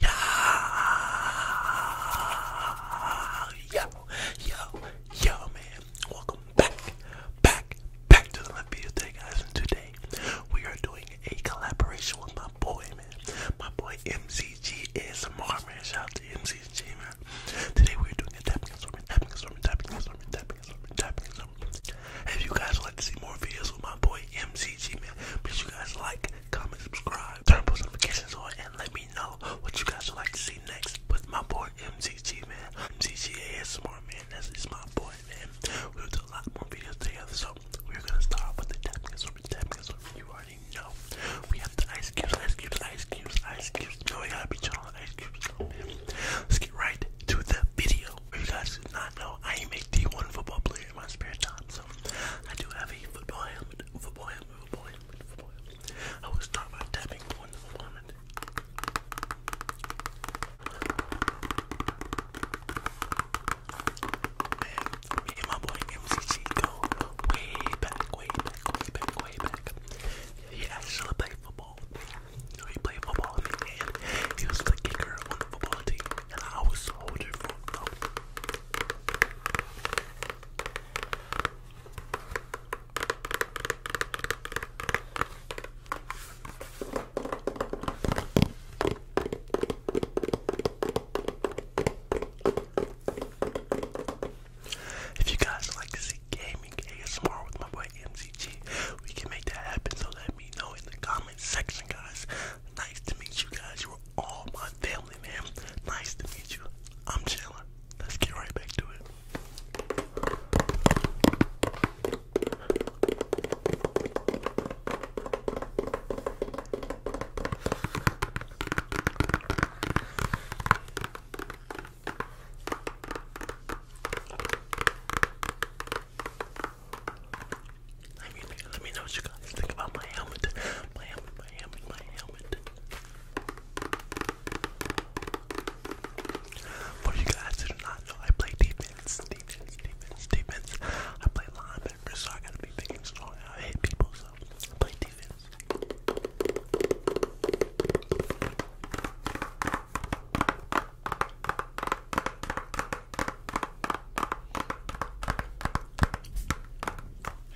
Yo, yo, yo, man. Welcome back, back, back to the video today, guys. And today we are doing a collaboration with my boy, man. My boy MCG ASMR, man. Shout out to MCG, man. Today we're doing a tapping and tapping and tapping and tapping and tapping and If you guys would like to see more videos with my boy MCG, man, make you guys like, comment, subscribe, turn post notifications on, and let me know what you guys would like to see next with my boy MCG, man. MCG ASMR, man. That's is my boy, man. We'll do a lot more videos together, so we're gonna start with the tapping assortment, tapping assortment. You already know. We have the ice cubes, ice cubes, ice cubes, ice cubes. No, we gotta be chill on ice cubes, though, man. Let's get right to the video. If you guys do not know, I am a D1 football player in my spare time, so I do have a football helmet movement boy, move boy, move boy. I was start by tapping on the vomit. Man, me and my boy MCC go way back, way back, way back, way back. He actually played football. he played football he was the kicker on the football team. And I was holding for him. If you guys like to see gaming ASMR with my boy MCG, we can make that happen. So let me know in the comments section, guys. Nice to meet you guys. You are all my family, man. Nice to meet you. I'm chilling. Let's get right back to it. I mean, let me know what you guys think about my helmet. My helmet, my helmet, my helmet. For you guys who do not know, I play defense, defense, defense, defense. I play linebacker, so I gotta be big and strong. I hit people, so I play defense.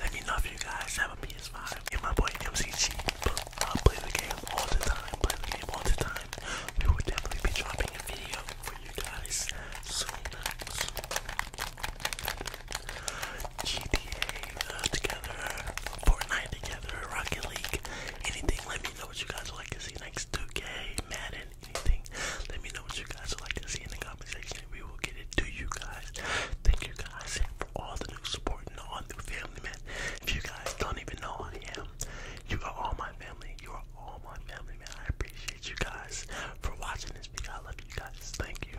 Let me know if you guys have a PS5. And my boy MCG, I uh, play the game all the time. Play the game all the time. We will definitely be dropping a for you guys soon. GTA uh, together, Fortnite together, Rocket League, anything. Let me know what you guys would like to see next. 2K, Madden, let me know what you guys like to see in the comment and we will get it to you guys. Thank you guys for all the new support and all the family, man. If you guys don't even know who I am, you are all my family. You are all my family, man. I appreciate you guys for watching this video. I love you guys. Thank you.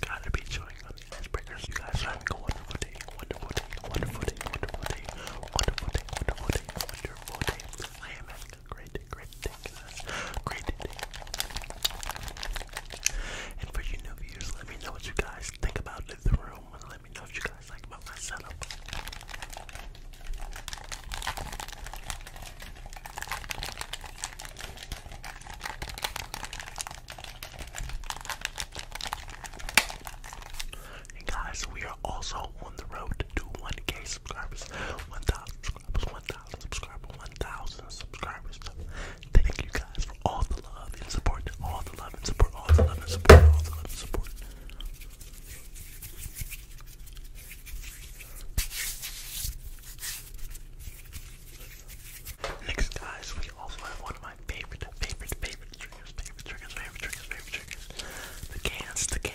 Gotta be chewing on the icebreakers. You guys are a wonderful day, wonderful day, wonderful day, wonderful day, wonderful day, wonderful day, wonderful day. I am having a great day, great day, Great day. And for you new viewers, let me know what you guys think about the room. Let me know what you guys like about my setup. And guys, we are also on the road to 1K subscribers, 1,000 subscribers, 1,000 subscribers, 1,000 subscribers. Thank you guys for all the love and support, all the love and support, all the love and support, all the love and support. Next, guys, we also have one of my favorite, favorite, favorite triggers, favorite triggers, favorite triggers, favorite triggers. The cans, the cans.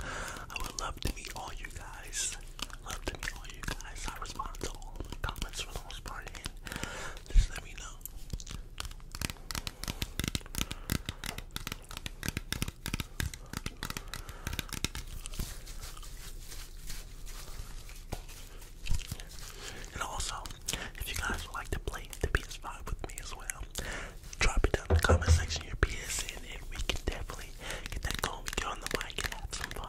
I would love to meet all you guys. Love to meet all you guys. I respond to all the comments for the most part, and just let me know. And also, if you guys would like to play the PS5 with me as well, drop it down in the comment section your PSN, and we can definitely get that going with you on the bike and have some fun.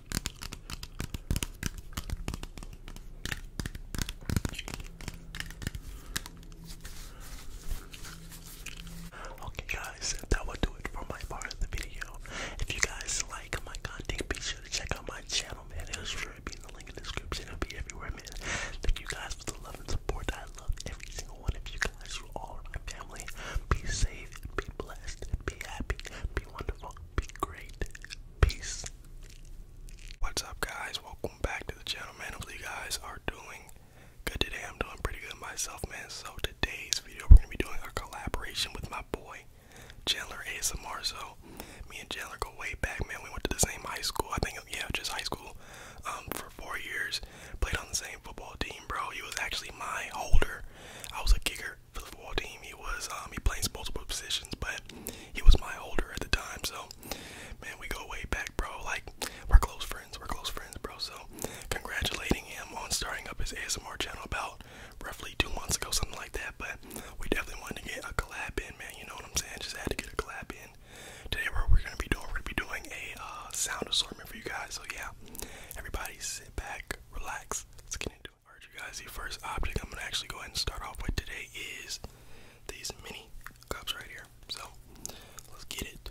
Okay guys, that will do it for my part of the video. If you guys like my content, be sure to check out my channel, man. It'll sure be in the link in the description. It'll be everywhere, man. Thank you guys for the love and support. I love every single one of you guys. You all are my family. Be safe, be blessed, be happy, be wonderful. Be great. Peace. What's up, guys? Welcome back to the channel, man. Hopefully, you guys are doing good today. I'm doing pretty good myself, man. So, today's video, we're going to be doing a collaboration with my boy, Chandler ASMR. So, me and Chandler go way back, man. We went to the same high school. I think, yeah, just high school um, for four years. Played on the same football team, bro. He was actually my holder. I was a kicker for the football team. He was um, he plays multiple positions, but he was my older at the time. So, man, we go way back, bro. Like we're close friends. We're close friends, bro. So, congratulating him on starting up his ASMR channel about roughly two months ago, something like that. But we definitely wanted to get a collab in, man. You know what I'm saying? Just had to get a collab in. Today, what we're gonna be doing, we're gonna be doing a uh, sound assortment for you guys. So yeah, everybody sit back, relax. Let's get into. it. Alright you guys, the first object I'm gonna actually go ahead and start off with today is these mini cups right here. So let's get it.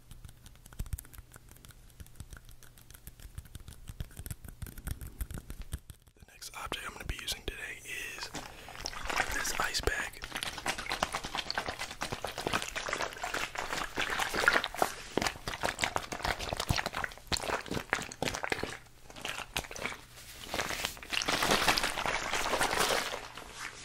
The next object I'm going to be using today is this ice bag.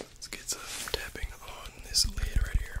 Let's get some tapping on this lid right here.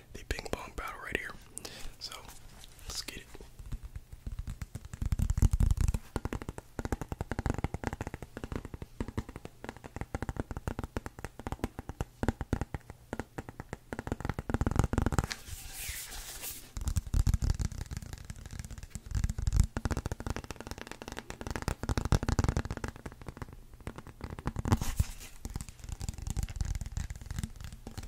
the ping pong battle right here. So let's get it.